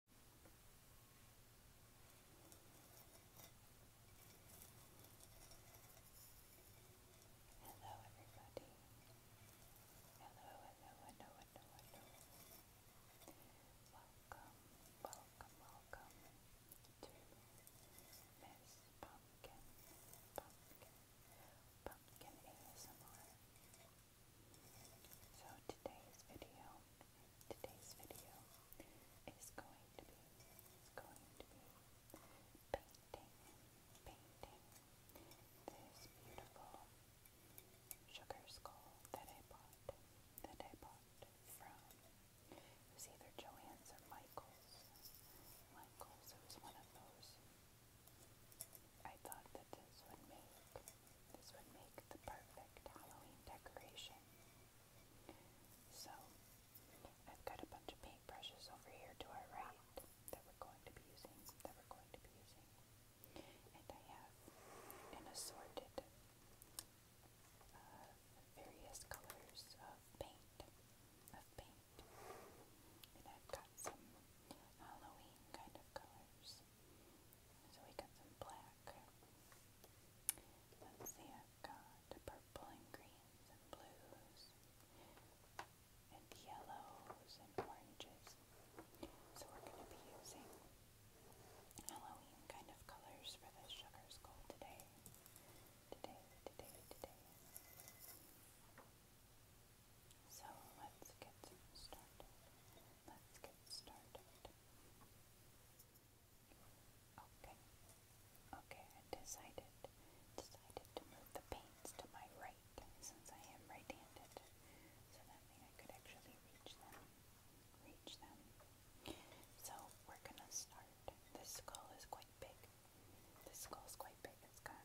Hello, everybody. Hello, hello, hello, hello, hello. Welcome, welcome, welcome to Miss Pumpkin, Pumpkin, Pumpkin ASMR. So today's video, today's video is going to be, going to be painting, painting this beautiful sugar skull that I bought, that I bought from, it was either Joann's or Michael's, Michael's, it was one of those. I thought that this would make this would make the perfect Halloween decoration. So, I've got a bunch of paintbrushes over here to our right that we're going to be using, that we're going to be using. And I have an assorted various colors of paint, of paint. And I've got some Halloween kind of colors. So we got some black. Let's see, I've got purple and greens and blues and yellows and oranges. So we're going to be using Halloween kind of colors for the sugar skull today. Today, today, today. So let's get started let's get started. Okay, okay, I decided, decided to move the paints to my right since I am right-handed, so that I could actually reach them, reach them. So we're gonna start. This skull is quite big. This skull's quite big. It's got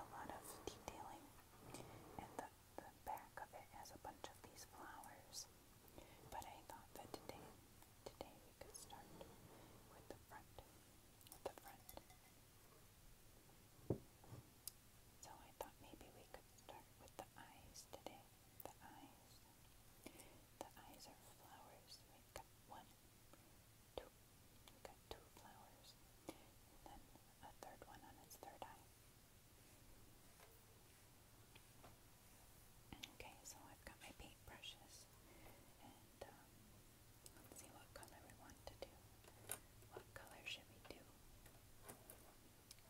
a lot of detailing, the back of it has a bunch of these flowers. But I thought that today, today we could start with the front, the front. So I thought maybe we could start with the eyes today. The eyes. The eyes are flowers. we got one, two. got two flowers. then a third one on its third eye. Okay, so I've got my paintbrushes and um, let's see what color we want to do. What color should we do?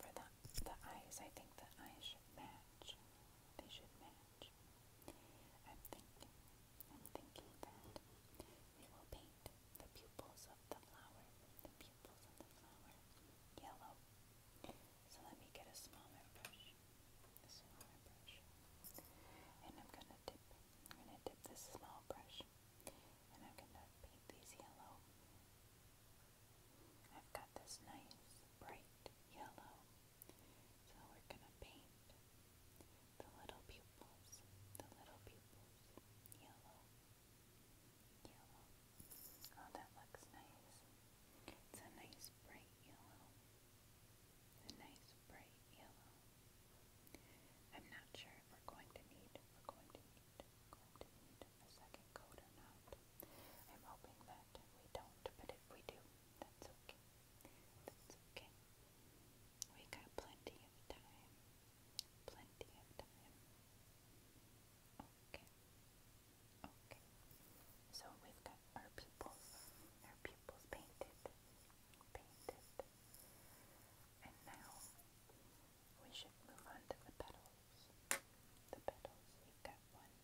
For the, the eyes, I think the eyes should match. They should match. I'm thinking, I'm thinking that we will paint the pupils of the flower, pupils in Yellow. So let me get a smaller brush. A smaller brush. And I'm gonna dip. I'm gonna dip this small brush. And I'm gonna paint these yellow. I've got this nice bright yellow. So we're gonna paint the little pupils. The little pupils. Yellow. Yellow. Oh, that looks nice. It's a nice bright yellow. A nice bright yellow. I'm not sure if we're going to need we're going to need we're going to need a second coat or not. I'm hoping that we don't, but if we do, that's okay. That's okay. We got plenty of time. Plenty of time. Okay. Okay. So we got our pupils, our pupils painted, painted. And now we should move on to the petals. The petals, we've got one,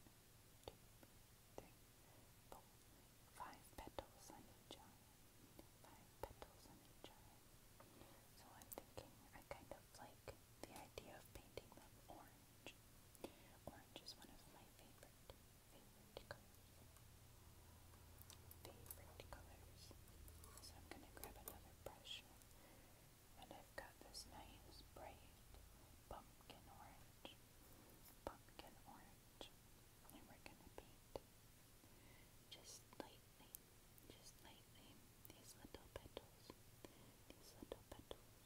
two, three, four, five petals on each Five petals on each So I'm thinking I kind of like like the idea of painting them orange. Orange is one of my favorite, favorite colors. Favorite colors. So I'm going to grab another brush. And I've got this nice, bright pumpkin orange. Pumpkin orange. And we're going to paint just lightly, just lightly these little petals, these little petals.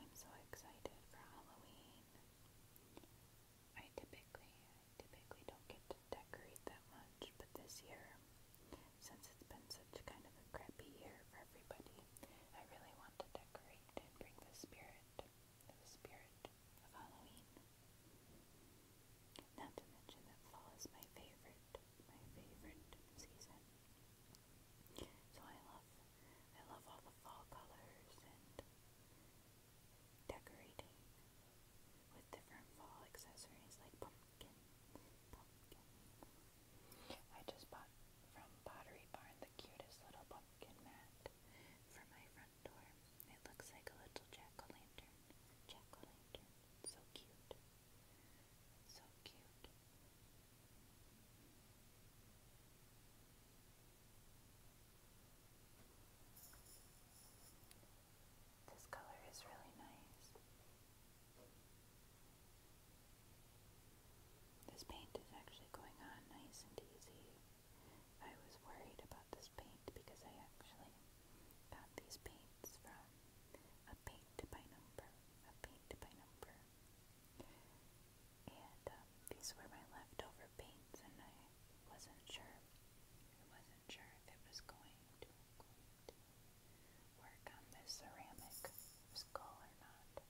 I'm so excited for Halloween. I typically, I typically don't get to decorate that much, but this year, since it's been such kind of a crappy year for everybody, I really want to decorate and bring the spirit, the spirit of Halloween not to mention that fall is my favorite, my favorite season. So I love, I love all the fall colors and decorating with different fall accessories like pumpkin, I just bought from Pottery Barn the cutest little pumpkin mat for my front it looks like a little jack-o'-lantern. Jack-o'-lantern. So cute. So cute. This color is really nice. This paint is actually going on nice and easy. I was worried this paint because I actually found these paints from a paint by number, a paint by number. And um, these were my leftover paints and I wasn't sure, I wasn't sure if it was going to, going to work on this ceramic skull or not.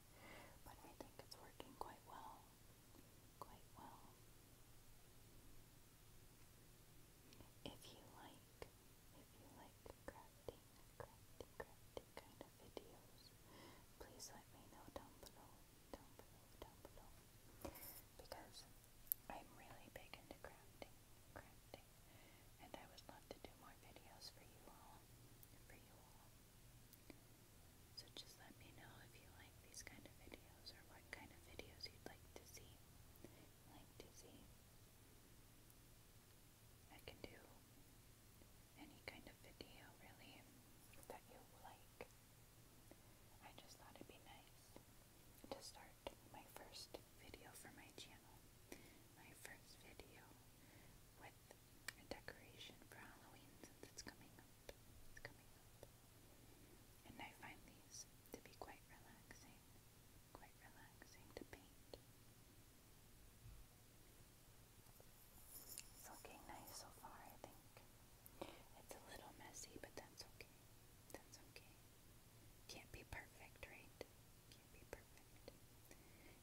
But I think it's working quite well quite well. If you like, if you like crafting, crafting, crafting kind of videos, please let me know down below, down below, down below, because I'm really big into crafting, crafting, and I would love to do more videos for you all, for you all. So just let me know if you like these kind of videos or what kind of videos you'd like to see. Like to see. I can do any kind of video really that you like. I just thought it'd be nice to start my first video for my channel. My first video with a decoration for Halloween since it's coming up. It's coming up. And I find these to be quite relaxing, quite relaxing to paint. It's looking nice so far, I think. It's a little messy, but that's okay. That's okay. Can't be perfect, right? Can't be perfect.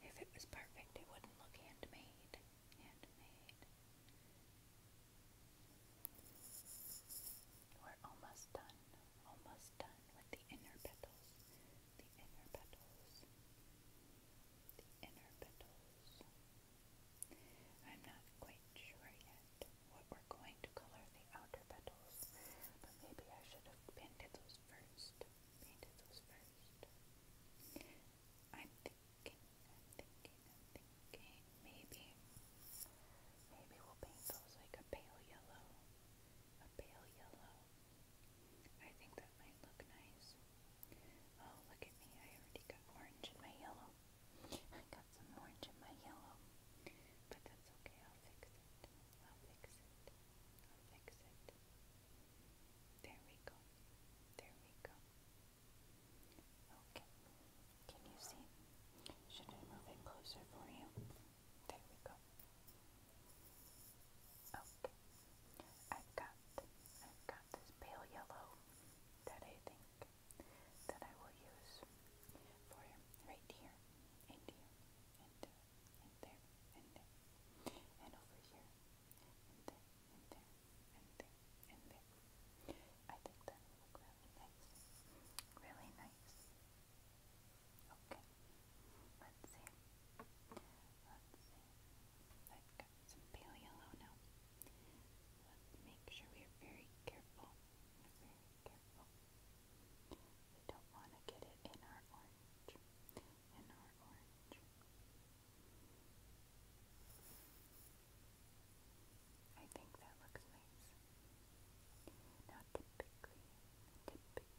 If it was perfect, it wouldn't look handmade. Handmade. We're almost done, almost done with the inner petals, the inner petals, the inner petals. I'm not quite sure yet what we're going to color the outer petals, but maybe I should have painted those first. Painted those first. I'm thinking, i maybe, maybe we'll paint those like a pale yellow, a pale yellow. I think that might look nice. Oh, look at me, I already got orange in my yellow. I got some orange in my yellow, but that's okay, I'll fix it, I'll fix it, I'll fix it. There we go, there we go. Okay. Can you see? Should I move it closer for you? There we go. Okay. I've got I've got this pale yellow that I think that I will use for right here and here and there and there and over here and there and there and there, I think that will look really nice. Really nice. Okay. Let's see. Let's see. I've got some pale yellow now. Let's make sure we are very careful. very careful. don't want to get it in our orange. In our orange. I think that looks nice. Now typically, typically,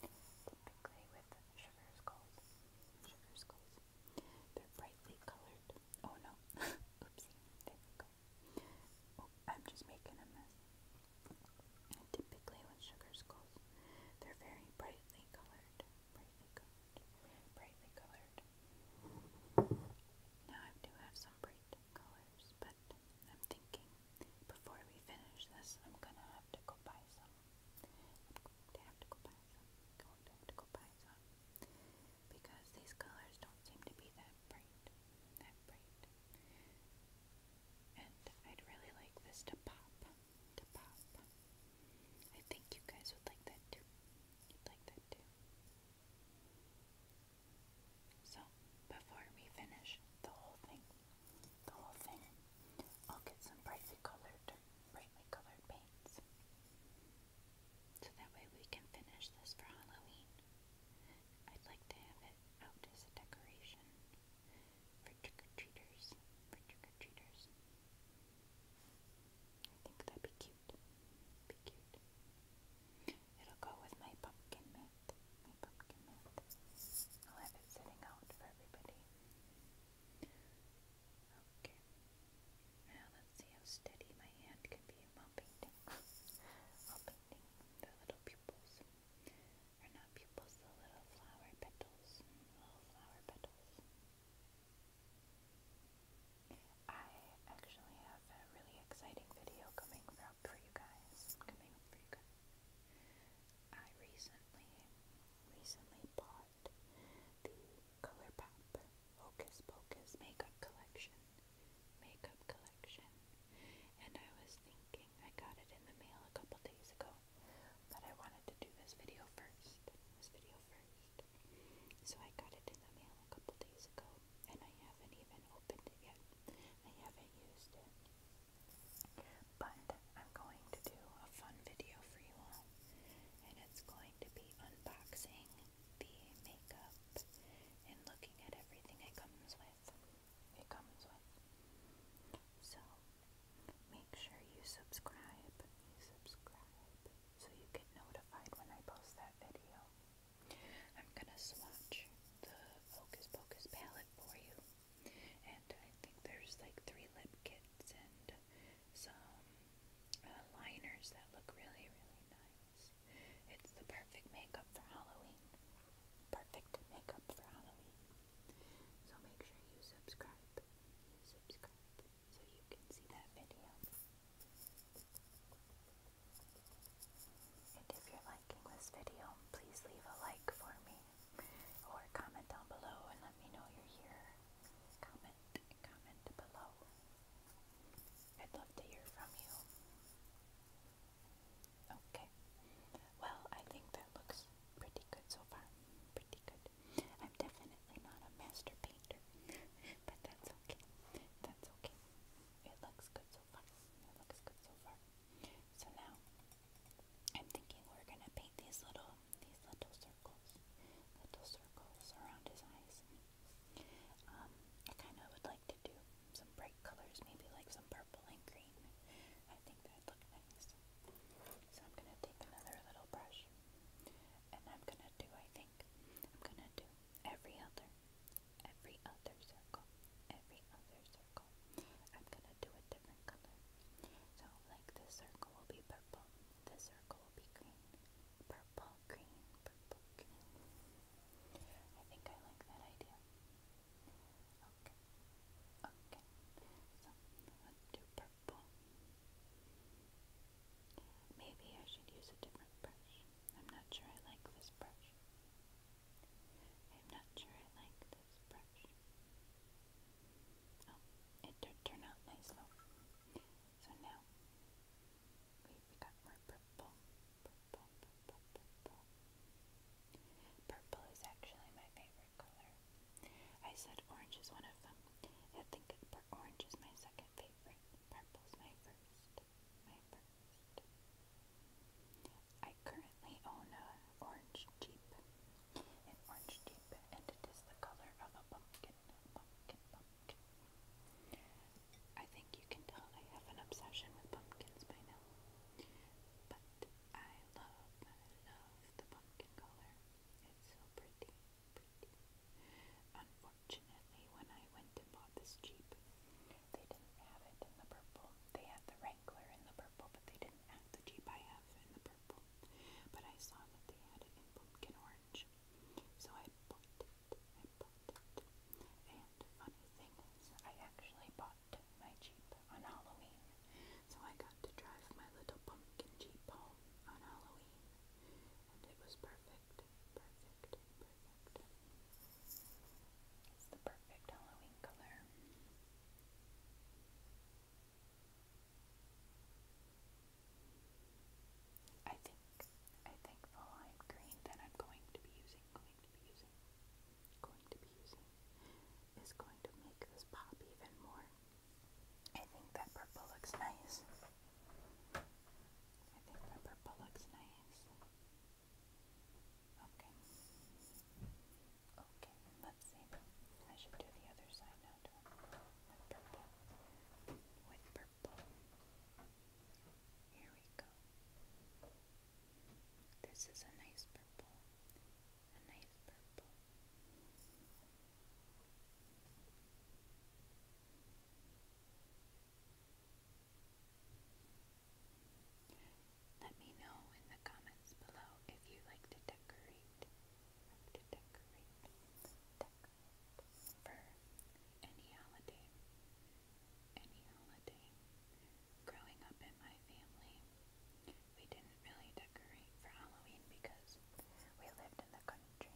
typically with sugar skulls, sugar skulls, they're brightly colored. Oh no, oopsie, there we go. Oh, I'm just making a mess. typically with sugar skulls, they're very brightly colored, brightly colored, brightly colored. Now I do have some bright colors, but I'm thinking before we finish this, I'm gonna have to go buy some. I'm going to have to go buy some. I'm going to have to go buy some because these colors don't seem to be that bright, that bright. And I'd really like this to pop, to pop. I think you guys would like that too. You'd like that too. So, before we finish the whole thing, the whole thing, I'll get some brightly colored, brightly colored paints. So that way we can finish this for Halloween. I'd like to have it out as a decoration for trick-or-treaters, for trick-or-treaters. I think that'd be cute cute. Be cute. It'll go with my pumpkin mint. I'll have it sitting out for everybody. Now let's see how steady my hand can be mumping things. mumping things. The little pupils. Or not pupils, the little flower petals. Little flower petals. I actually have a really exciting video coming up for you guys. Coming for you guys. I recently, recently bought the ColourPop Hocus Pocus makeup collection. Makeup collection. And I was thinking, I got it in the mail a couple days ago, that I wanted to do this video first. This video so I got it in the mail a couple days ago, and I haven't even opened it yet. I haven't used it. But I'm going to do a fun video for you and it's going to be unboxing the makeup and looking at everything it comes with. It comes with. So, make sure you subscribe. subscribe so you get notified when I post that video. I'm gonna swatch the Focus Pocus palette for you. And I think there's like three lip kits and some uh, liners that look really, really nice. It's the perfect makeup for Halloween. Perfect makeup for Halloween. So make sure you subscribe. You subscribe so you can see that video. And if you're liking this video, please leave a like for me or comment down below and let me know you're here. Comment, comment below. I'd love to hear from you. Okay. Well, I think that looks pretty good so far. Pretty good. I'm definitely not a masterpiece. But that's okay. That's okay. It looks good so far. It looks good so far. So now I'm thinking we're gonna paint these little these little circles. Little circles around his eyes. Um, I kinda would like to do some bright colors, maybe like some purple and green. I think that'd nice. So I'm gonna take another little brush and I'm gonna do I think I'm gonna do every other, every other circle, every other circle. I'm gonna do a different color. So, like this circle will be purple, this circle will be green, purple, green, purple, green. I think I like that idea. Okay, okay. So, let's do purple. Maybe I should use a different brush. I'm not sure I like this brush. I'm not sure I like this brush. Oh, it did turn out nice though. So now we've got more purple, purple, Purple is actually my favorite color. I said orange is one of them. I think orange is my second favorite. Purple's my first. I currently own an orange Jeep. An orange Jeep, and it is the color of a pumpkin. Pumpkin, pumpkin. I think you can tell I have an obsession with pumpkins by now. But I love, love the pumpkin color. It's so pretty. Unfortunately, when I went and bought this Jeep, they didn't have it in the purple. They had the Wrangler in the purple, but they didn't have the Jeep I have in the purple. But I saw that they had it in pumpkin orange. So I bought it. And funny thing is, I actually bought my Jeep on Halloween. So I got to drive my little pumpkin Jeep home on Halloween. And it was perfect. Perfect. Perfect. It's the perfect Halloween color. I think I think the lime green that I'm going to be using, going to be using, going to be using is going to make this pop even more. I think that purple looks nice. I think purple looks nice. Okay. Okay, let's see. I should do the other side now purple. purple. Here we go. This is a nice purple. A nice purple. Let me know in the comments below if you like to decorate, for any holiday, any holiday. Growing up in my family, we didn't really decorate for Halloween because we lived in the country,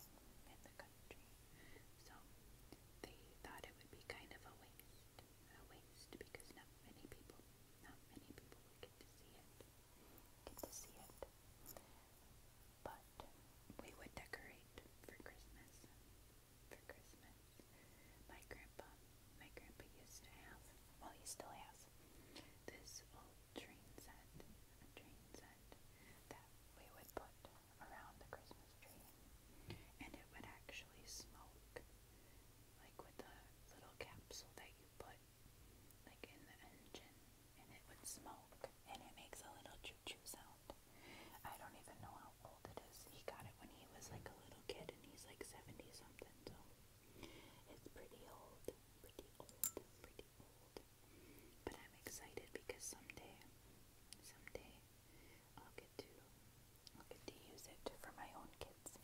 in the country. So they thought it would be kind of a waste, a waste because not many people, not many people would get to see it, get to see it. But we would decorate for Christmas, for Christmas. My grandpa, my grandpa used to have, well he still has, this old train set, train set that we would put around the Christmas tree, and it would actually smoke, like with the little capsule that you put, like in the engine, and it would smoke, and it makes a little choo-choo sound. I don't even know how old it is. He got it when he was like a little kid, and he's like 70 something, so it's pretty old, pretty old, pretty old. But I'm excited because someday, someday, I'll get to I'll get to use it for my own kids.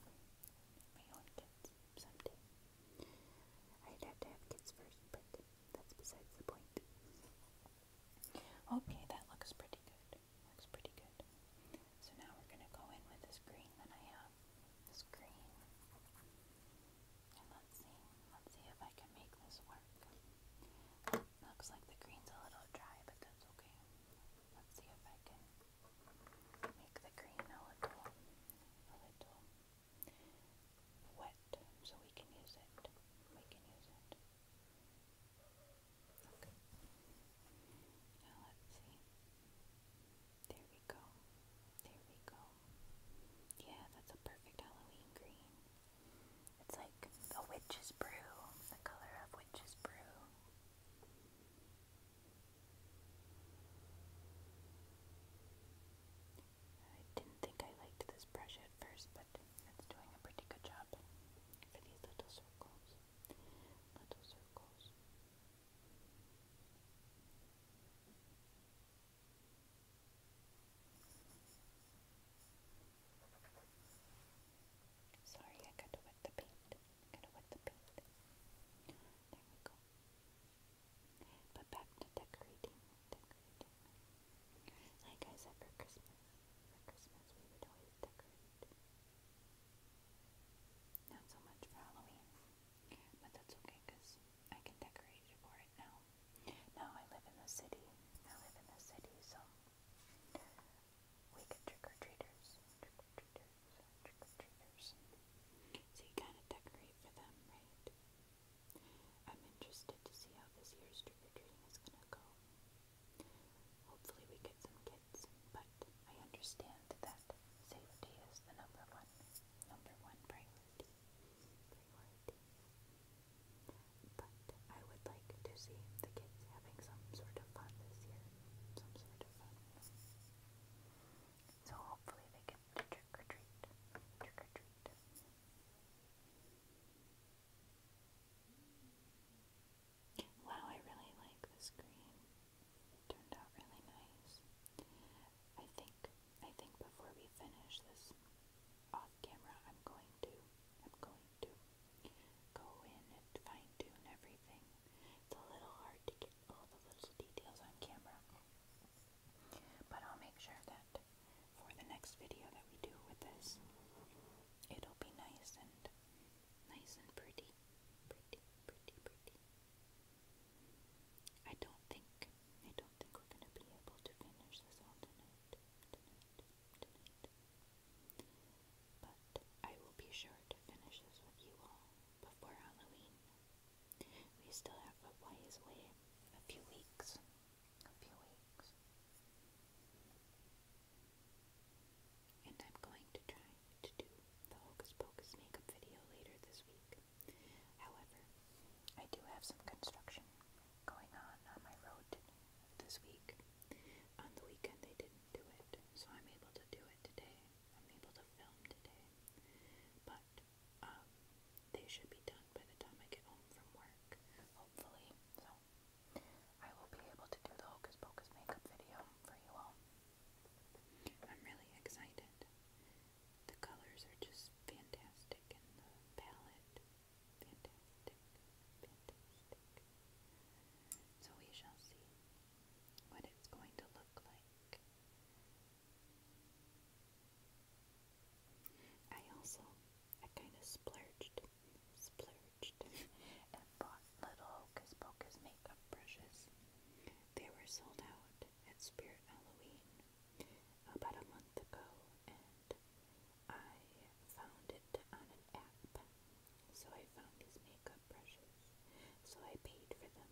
My own kids someday. I'd have to have kids first, but that's besides the point. Okay, that looks pretty good. Looks pretty good. So now we're gonna go in with this green that I have. This green. And let's see. Let's see if I can make this work. Looks like the green's a little dry, but that's okay. Let's see if I can make the green a little, wet so we can use it. We can use it. Okay. Now let's see. There we go. There we go. Yeah, that's a perfect Halloween green. It's like a witch's brew, the color of witch's brew. I didn't think I liked this brush at first, but it's doing a pretty good job these little circles. Little circles. Sorry, I got to wet the paint. Got to wet the paint. There we go. But back to decorating, Like I said, for Christmas, for Christmas we would always decorate. Not so much for Halloween, but that's okay because I can decorate for it now now. I live in the city. I live in the city, so we get trick or treaters, trick or treaters, trick or treaters. So you kind of decorate for them, right? I'm interested to see how this year's trick or treating is gonna go. Hopefully, we get some kids, but I understand that safety is the number one, number one priority. Priority. But I would like to see the kids having some sort of fun this year. Some sort of fun. So hopefully they can trick or treat. Trick or treat. Wow, I really like the screen. It turned out really nice. I think I think before we finish this off camera I'm going to I'm going to go in and fine tune everything. It's a little hard to get all the little details on camera. But I'll make sure that for the next video that we do with this it'll be nice and nice and pretty. Pretty, pretty, pretty. I don't think I don't think we're gonna be able to finish this all tonight. Tonight. But I will be sure to finish this with you all before Halloween. We still have a ways away, a few weeks, a few weeks. And I'm going to try to do the Hocus Pocus makeup video later this week. However, I do have some construction going on on my road this week. On the weekend they didn't do it, so I'm able to do it today. I'm able to film today. But um, they should be done by the time I get home from work, hopefully. So I will be able to do the Hocus Pocus makeup video for you all. I'm really excited. The colors are just fantastic and the palette so we shall see what it's going to look like. I also, I kind of splurged, splurged, and bought little Hocus Pocus makeup brushes. They were sold out at Spirit Halloween about a month ago, and I found it on an app, so I found these makeup brushes, so I paid for them.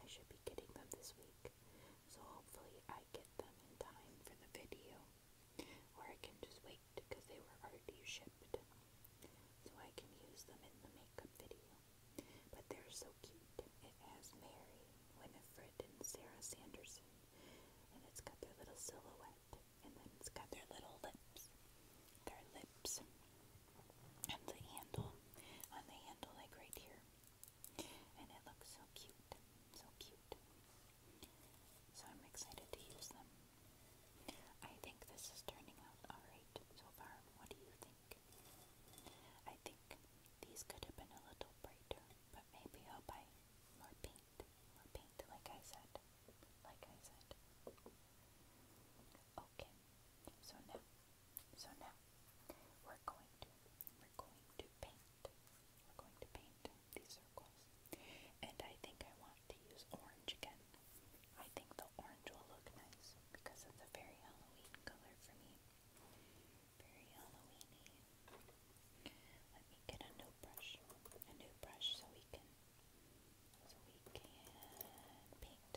I should be getting them this week, so hopefully I get them in time for the video, or I can just wait because they were already shipped, so I can use them in the makeup video. But they're so cute. It has Mary, Winifred, and Sarah Sanderson, and it's got their little silhouette and then it's got their little lips. Their lips. And the handle. On the handle, like right here. And it looks so cute. So cute. So I'm excited to use them. I think this is turning out alright so far. What do you think? I think these could have been a little brighter, but maybe I'll buy more pink paint. like I said. Like I said. Okay. So now, so now, we're going to, we're going to paint. We're going to paint these circles. And I think I want to use orange again. I think the orange will look nice because it's a very Halloween color for me. Very Halloweeny. Let me get a new brush, a new brush, so we can, so we can paint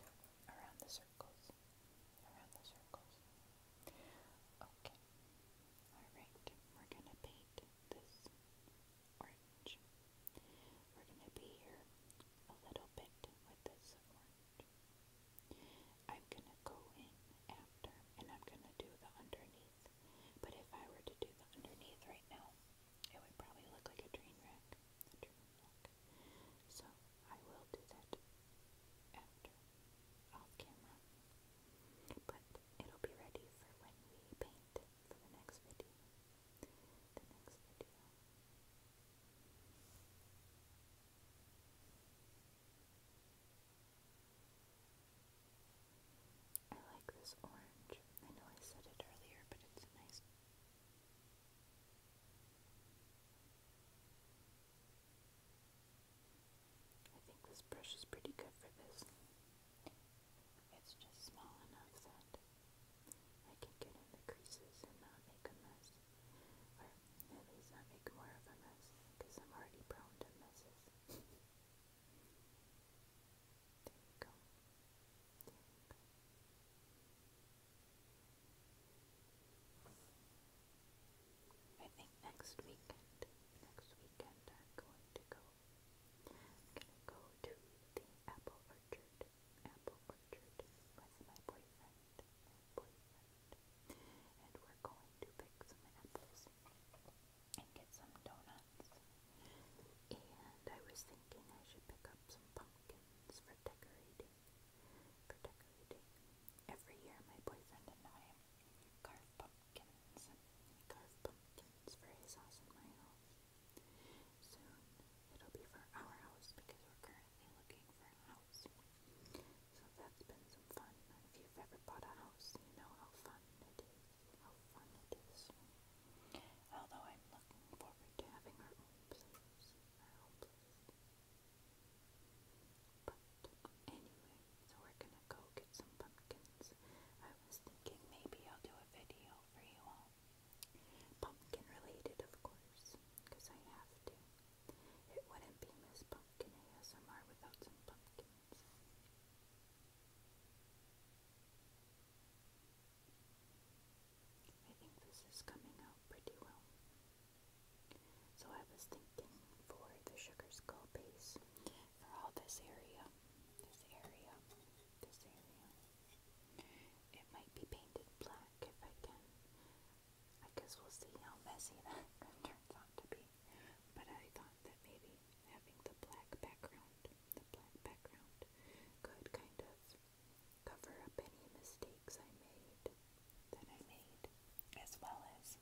around the circles, around the circles. Okay. All right. We're gonna paint this orange. We're gonna be here a little bit with this orange. I'm gonna go in after, and I'm gonna do the underneath. But if I were to do the underneath right now, it would probably look like a train wreck. So I will do that after, off camera. But it'll be ready for when we paint for the next video. The next video. I like this orange. I know I said it earlier, but it's nice. I think this brush is pretty good for this. It's just small enough that I can get in the creases and not make a mess. Or at least not make more of a mess, because I'm already prone to messes. There you I think next weekend, next weekend I'm going to go. I'm gonna go to the apple orchard, apple orchard with my boyfriend, my boyfriend, and we're going to pick some apples and get some donuts. And I was thinking I should pick up some pumpkins for decorating. For decorating. Every year my boyfriend and I carve pumpkins. Carve pumpkins for his house and my house. Soon it'll be for our house because we're currently looking for a house. So that's been some fun. If you've ever bought a house, you know how fun it is Although I'm looking forward to having our own place, But anyway, so we're gonna go get some pumpkins. I was thinking maybe I'll do a video for you all. Pumpkin related, of course, because I have to. It wouldn't be Miss Pumpkin ASMR without some pumpkin I think this is coming out pretty well. So I was thinking for the sugar skull base for all this area, this area, this area. It might be painted black if I can. I guess we'll see how messy that turns out to be but I thought that maybe having the black background, the black background, could kind of cover up any mistakes I made, that I made, as well as,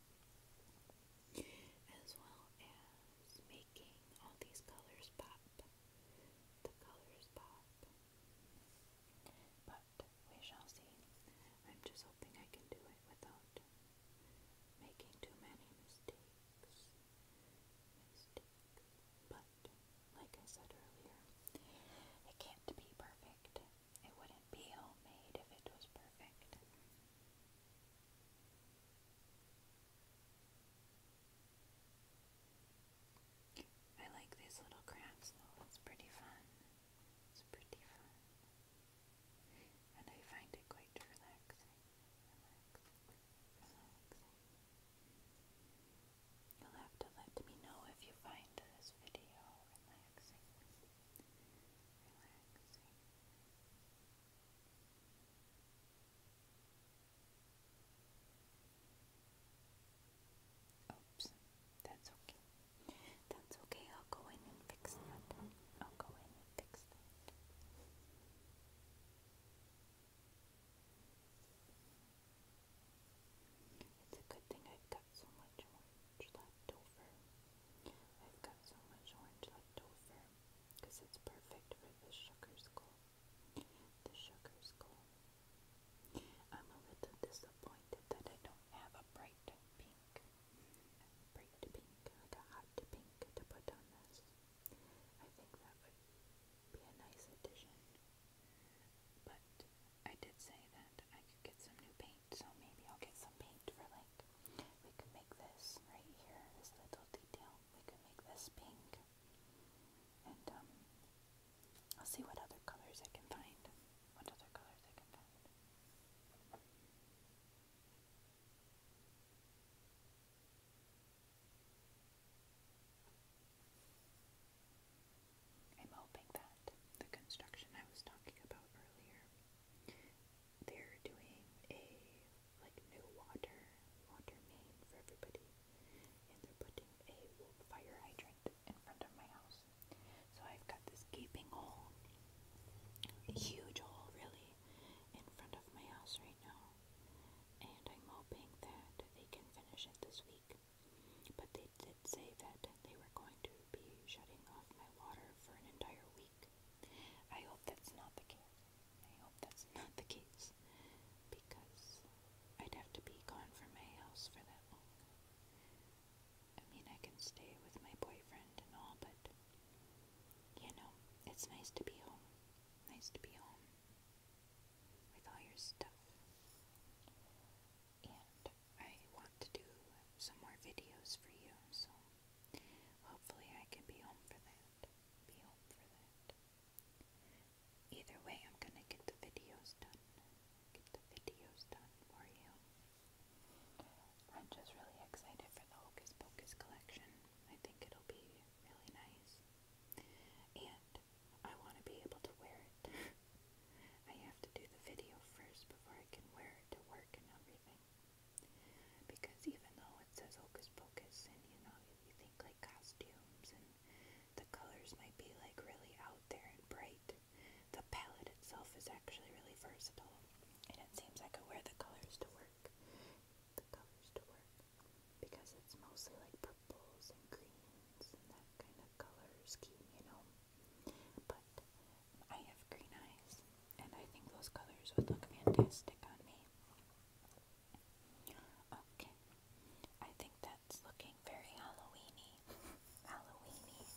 as well as making all these colors pop, the colors pop, but we shall see. I'm just hoping I can do it without making too many mistakes is but like I said earlier, it can't be perfect. It wouldn't be homemade if it was perfect. I like these little crafts though, it's pretty fun. It's pretty fun. And I find it quite relaxing. You'll have to let me know if you find this video Relaxing. Oops, that's okay. That's okay. I'll go in and fix that. I'll go in and fix it's a good thing I've got so much orange left over. I've got so much orange left over because it's perfect for the sugar skull. The sugar skull. I'm a little disappointed that I don't have a bright pink. Bright pink, a hot pink to put on this. I think that would be a nice addition. But I did say that I could get some new paint, so maybe I'll get some paint for like, we could make this right here, this little detail, we could make this pink. And um, I'll see what other colors I can find. What other colors I can find. I'm hoping that the construction I was talking about earlier, they're doing a like new water water main for everybody, and they're putting a fire hydrant in front of my house. So I've got this gaping hole, huge hole really, in front of my house right now, and I'm hoping that they can finish it this week. But they did say that they were going to be shutting off my water for an entire week. I hope that's not the case. I hope that's not the case because I'd have to be gone from my house for that long. I mean, I can stay with my boyfriend and all, but you know, it's nice to be home. Nice to be home with all your stuff. And I want to do some more videos for you, so hopefully I can be home for that. Be home for that. Either way, I'm gonna get the videos done. Get the videos done for you. I'm just really excited for the Hocus Pocus collection. I think it'll be really nice. And I want to be able to wear it. I have to do the video first before I can wear it to work and everything. Because even though it says Hocus Pocus and you know, you think like costumes and the colors might be like really out there and bright, the palette itself is actually really versatile. And it seems I could wear the colors to work the colors to work because it's mostly like purples and greens and that kind of color scheme, you know. But I have green eyes and I think those colors would look fantastic on me. Okay. I think that's looking very Halloweeny. Halloweeny.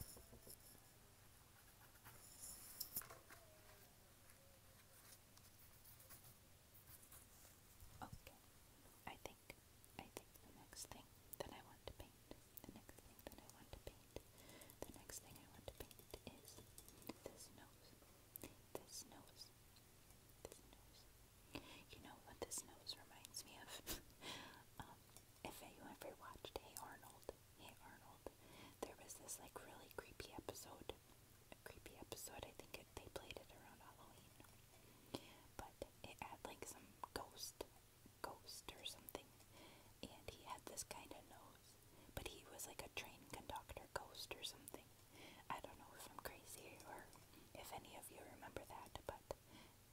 Okay, I think, I think the next thing that I want to paint, the next thing that I want to paint, the next thing I want to paint is this nose, this nose, this nose. You know what this nose reminds me of? um, if you ever watched Hey Arnold, Hey Arnold, there was this like really creepy episode a creepy episode. I think it, they played it around Halloween, but it had like some ghost, ghost or something, and he had this kind of nose, but he was like a train conductor ghost or something. I don't know if I'm crazy or if any of you remember that, but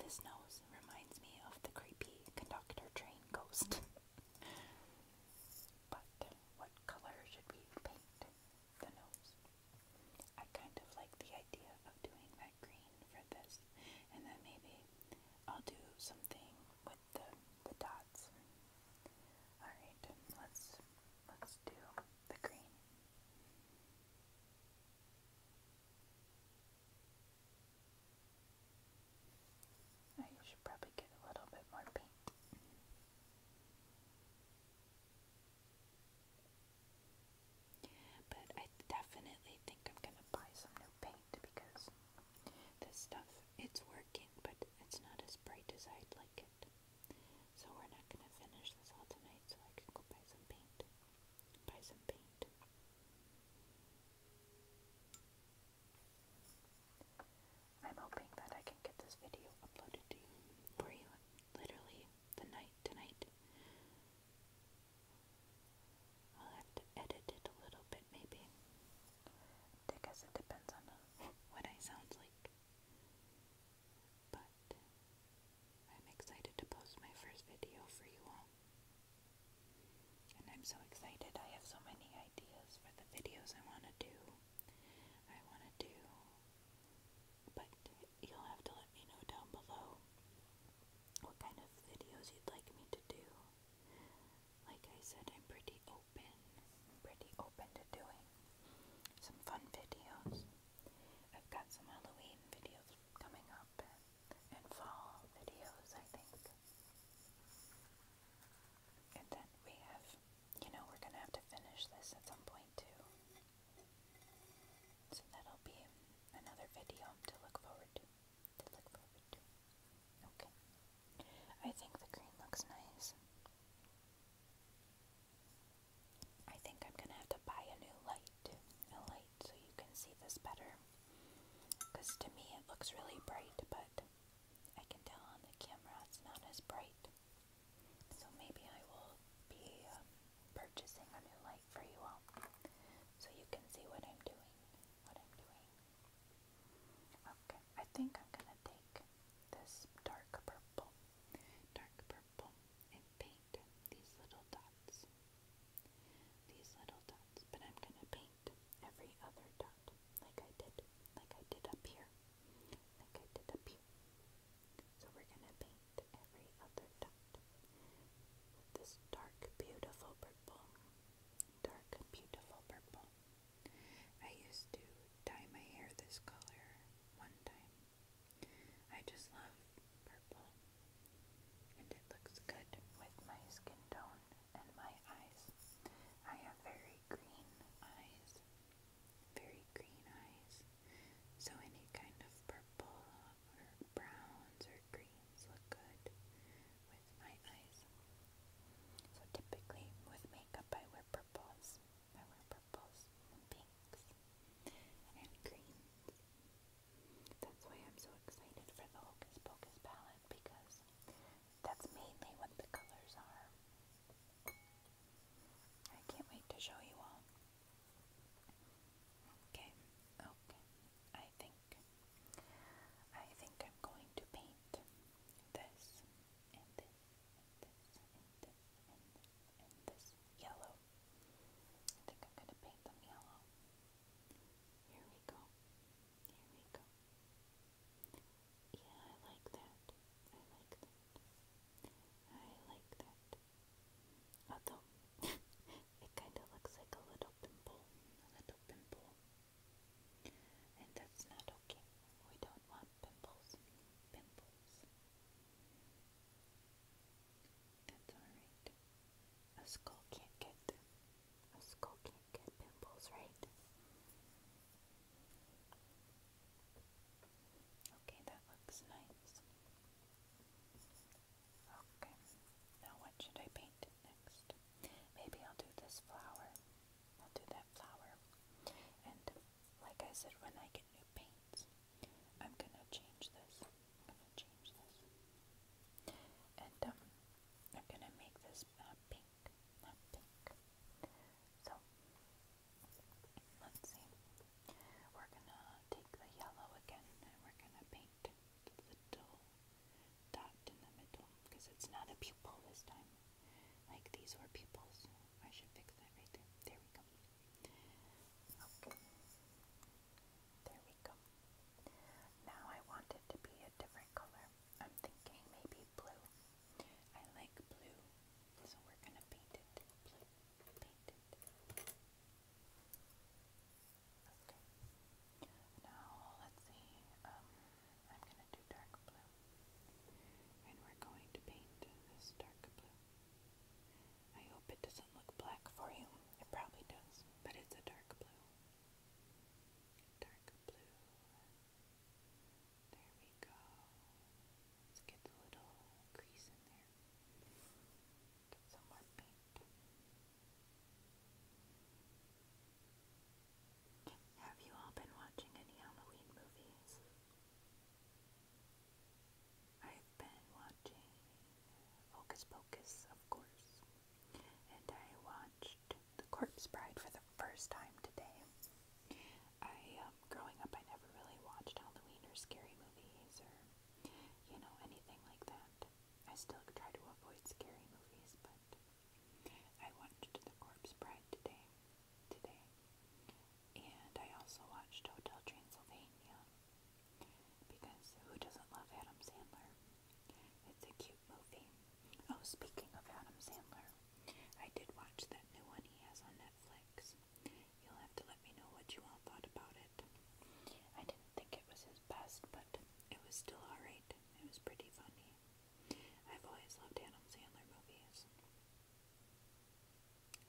this nose reminds me of the creepy conductor train ghost. But what color should we paint the nose? I kind of like the idea of doing that green for this, and then maybe I'll do something with the the dots. All right, let's let's do the green. I oh, should probably get a little bit more paint. But I definitely think I'm gonna buy some new paint because this stuff, it's working, but it's not as bright as I'd like it. So we're not gonna finish this all tonight, so I can go buy some paint. Buy some paint. I'm hoping that I can get this video uploaded to you for you literally the night tonight. I'll have to edit it a little bit maybe. Because it depends on what I sound like. But I'm excited to post my first video for you all. And I'm so excited. I have so many ideas for the videos I want to do. I want to do, but you'll have to let me know down below what kind of videos you'd like me to do. Like I said, I'm pretty open, pretty open to doing some fun videos. I've got some Halloween videos coming up and fall videos, I think. And then we have, you know, we're gonna have to finish this at some point too. So that'll be another video to look forward to. To look forward to. Okay. I think the green looks nice. I think I'm gonna have to buy a new light. A light so you can see this better. Because to me it looks really bright, but I can tell on the camera it's not as bright. So maybe I will be uh, purchasing a new light for you all so you can see what I'm doing. What I'm doing. Okay, I think I'm gonna take this dark purple, dark purple, and paint these little dots. These little dots, but I'm gonna paint every other dot like I did, like I did up here, like I did up here. So we're going to paint every other dot this dark, beautiful purple. Dark, beautiful purple. I used to dye my hair this color one time. I just love purple. And it looks good with my skin tone and my eyes. I have very green eyes. Very green eyes. So any kind of purple or browns or greens look good with my eyes. So typically with makeup I wear purples. I wear purples and pinks and greens. That's why I'm so excited for the Hocus Pocus palette because that's mainly what the colors are. I can't wait to show you all. Okay, okay. I think I think I'm going to paint this and this and this and this and this yellow. I think I'm gonna paint them yellow. Here we go. Here we go. Yeah, I like that. I like that. I like that. Although, it kind of looks like a little pimple. A little pimple. And that's not okay. We don't want pimples. Pimples. That's alright. A skull can't get. A skull can't get pimples, right? Okay, that looks nice. Okay, now what should I paint next? Maybe I'll do this flower. I'll do that flower. And like I said, when I get new paints, I'm gonna change this. change this. And um, I'm gonna make this uh, pink. So, let's see. We're gonna take the yellow again and we're gonna paint the little dot in the middle because it's not a pupil this time. Like these were pupils. I should fix that right there. There we go. Okay. There we go. Now I want it to be a different color. I'm thinking maybe blue. I like blue, so we're going to paint it blue. Okay. Now, let's see. Um, I'm going to do dark blue. And we're going to paint this dark blue. I hope it doesn't look black for you. It probably does, but it's a dark blue. Dark blue. There we go. Let's get the little crease in there. some more paint. Have you all been watching any Halloween movies? I've been watching Hocus Pocus, of course, and I watched the Corpse Bride for the first time today. I, um, growing up, I never really watched Halloween or scary movies or, you know, anything like that. I still try to avoid scary movies, but I watched The Corpse Bride today, today, and I also watched Hotel Transylvania because who doesn't love Adam Sandler? It's a cute movie. Oh, speaking of Adam Sandler, I did watch that new one he has on Netflix. You'll have to let me know what you all thought about it. I didn't think it was his best, but it was still alright. It was pretty funny. I've always loved Adam Sandler movies.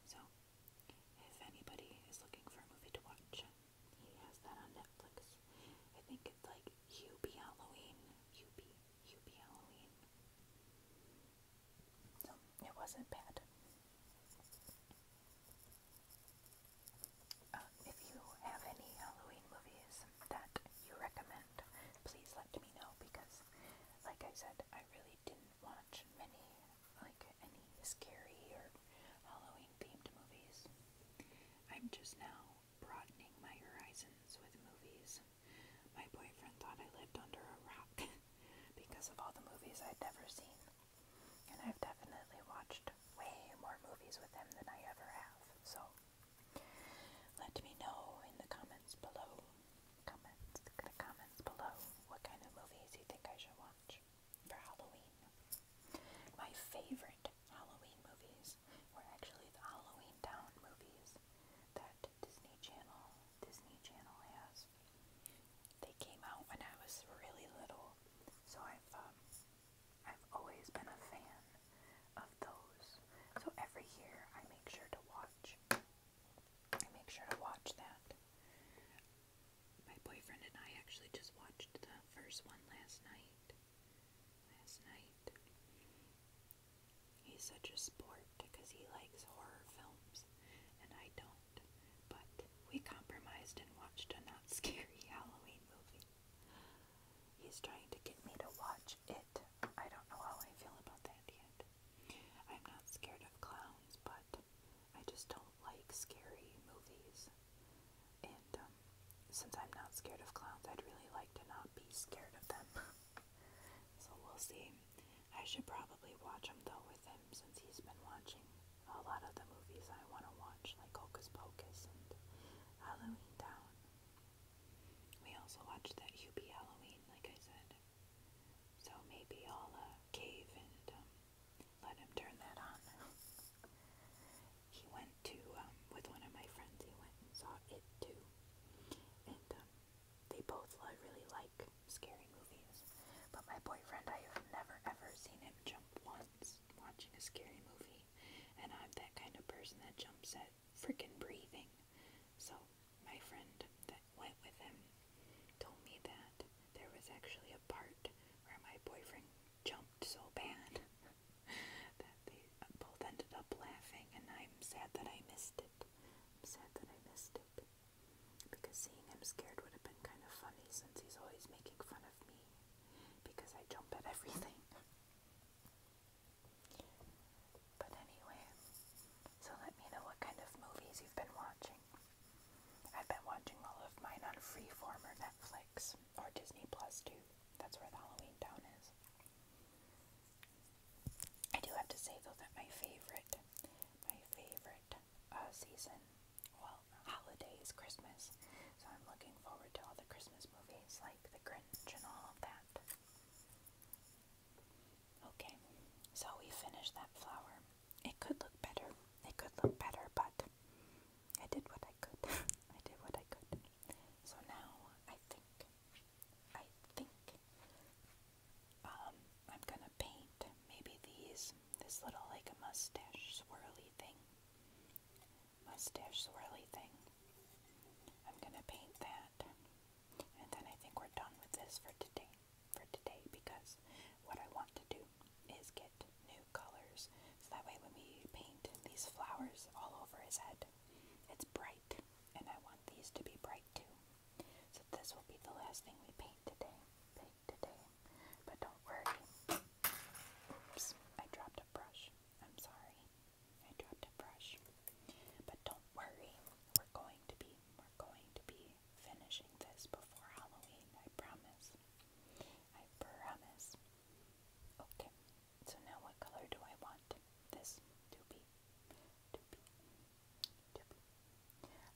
So, if anybody is looking for a movie to watch, he has that on Netflix. I think it's like Hubie Halloween. Hubie. Hubie Halloween. So it wasn't bad. Uh, if you have any Halloween movies that you recommend, please let me know because, like I said, I really didn't watch many, like any scary or Halloween themed movies. I'm just now broadening my horizons with movies. My boyfriend thought I lived under a rock because of all the movies I'd never seen. And I've definitely watched way more movies with him than I ever have. So let me know in the comments below. Comments, the comments below what kind of movies you think I should watch for Halloween. My favorite Halloween movies were actually the Halloween Town movies that Disney Channel, Disney Channel has. They came out when I was really little, so I've um, I've always been a fan of those. So every year I make sure to watch. I make sure to watch that. My boyfriend and I actually just watched the first one last night. Last night. He's such a sport because he likes horror films, and I don't. But we compromised and watched a not scary Halloween movie. He's trying to get me to watch it. I don't know how I feel about that yet. I'm not scared of clowns, but I just don't like scary movies. And um, since I'm not scared of clowns, I'd really like to not be scared of them. So we'll see. I should probably watch them though with him since he's been watching a lot of the movies I want to watch, like Hocus Pocus and Halloween Town. We also watched that Hubie Halloween, like I said. So maybe I'll uh, cave and um, let him turn that on. he went to, um, with one of my friends, he went and saw it too. And um, they both li really like scary movies. But my boyfriend, I have never ever seen him jump once watching a scary movie. And I'm that kind of person that jumps at freaking breathing. So my friend that went with him told me that there was actually a part where my boyfriend jumped so bad that they both ended up laughing and I'm sad that I missed it. I'm sad that I missed it. Because seeing him scared would have been kind of funny since he's always making fun of me. Because I jump at everything. But anyway, so let me know what kind of movies you've been watching. I've been watching all of mine on Freeform or Netflix or Disney Plus too. That's where the Halloween Town is. I do have to say though that my favorite, my favorite uh, season, well, holiday Christmas. So I'm looking forward to all the Christmas movies like The Grinch and all of that. Okay, so we finished that flower. It could look better. It could look better, but I did what I could. I did what I could. So now I think I think. Um, I'm gonna paint maybe these, this little like a mustache swirly thing. Mustache swirly thing. I'm gonna paint that. And then I think we're done with this for today. For today, because what I want to do is get new colors so that way when we paint these flowers all over his head, it's bright. And I want these to be bright. So this will be the last thing we paint today. Paint today. But don't worry. Oops, I dropped a brush. I'm sorry. I dropped a brush. But don't worry. We're going to be we're going to be finishing this before Halloween, I promise. I promise. Okay. So now what color do I want this to be?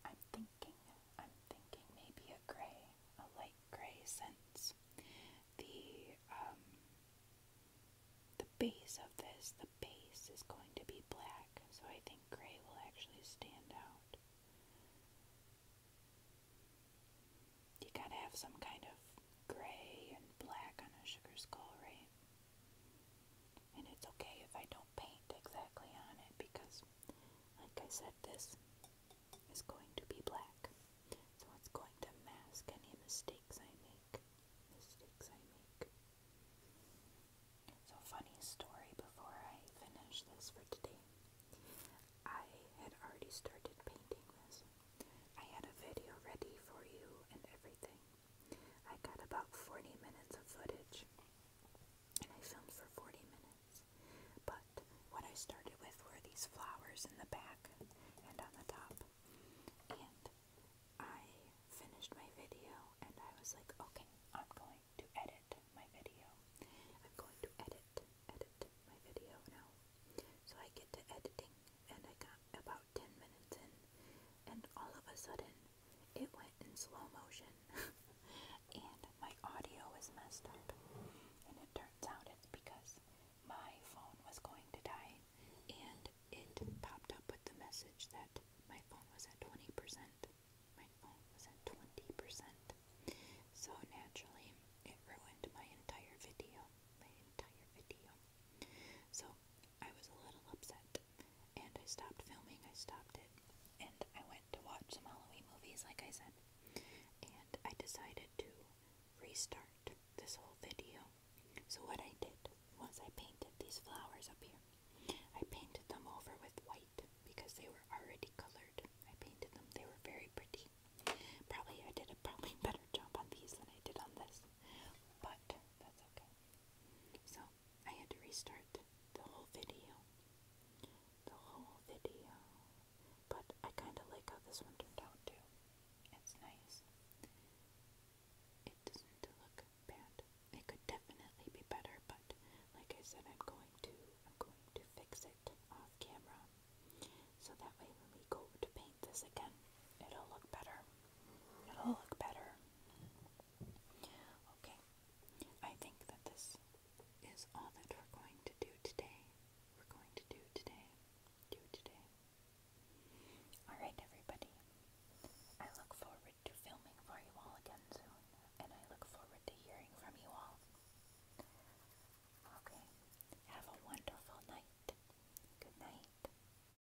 I'm thinking, I'm thinking maybe a gray, a light gray sense. The um, the base of this, the base is going to be black, so I think gray will actually stand out. You gotta have some kind of gray and black on a sugar skull, right? And it's okay if I don't paint exactly on it because, like I said, this is going to be black. So it's going to mask any mistakes I make. So, funny story before I finish this for today. I had already started painting this. I had a video ready for you and everything. I got about 40 minutes of footage, and I filmed for 40 minutes. But what I started with were these flowers in the back and on the top. And I finished my video, and I was like, okay, I'm going to edit my video. I'm going to edit, edit my video now. So I get to editing, and I got about 10 minutes in, and all of a sudden it went in slow motion, and my audio was messed up. And it turns out it's because my phone was going to die, and it popped up with the message that my phone was at 20%. My phone was at 20%. So naturally, it ruined my entire video. My entire video. So I was a little upset, and I stopped filming. I stopped it, and I went to watch some Halloween movies, like I said, and I decided to restart this whole video. So, what I did once I painted these flowers up here. I painted them over with white because they were already colored. I painted them, they were very pretty. Probably I did a probably better job on these than I did on this, but that's okay. So I had to restart the whole video. The whole video. But I kind of like how this one turned out too. It's nice. It doesn't look bad. It could definitely be better, but like I said, I'm going to I'm going to fix it off camera. So that way when we go to paint this again, it'll look better. It'll look better. Okay, I think that this is all that we're going to do today. We're going to do today. Do today. Alright, everybody. I look forward to filming for you all again soon, and I look forward to hearing from you all. Okay, have a wonderful night. Good night.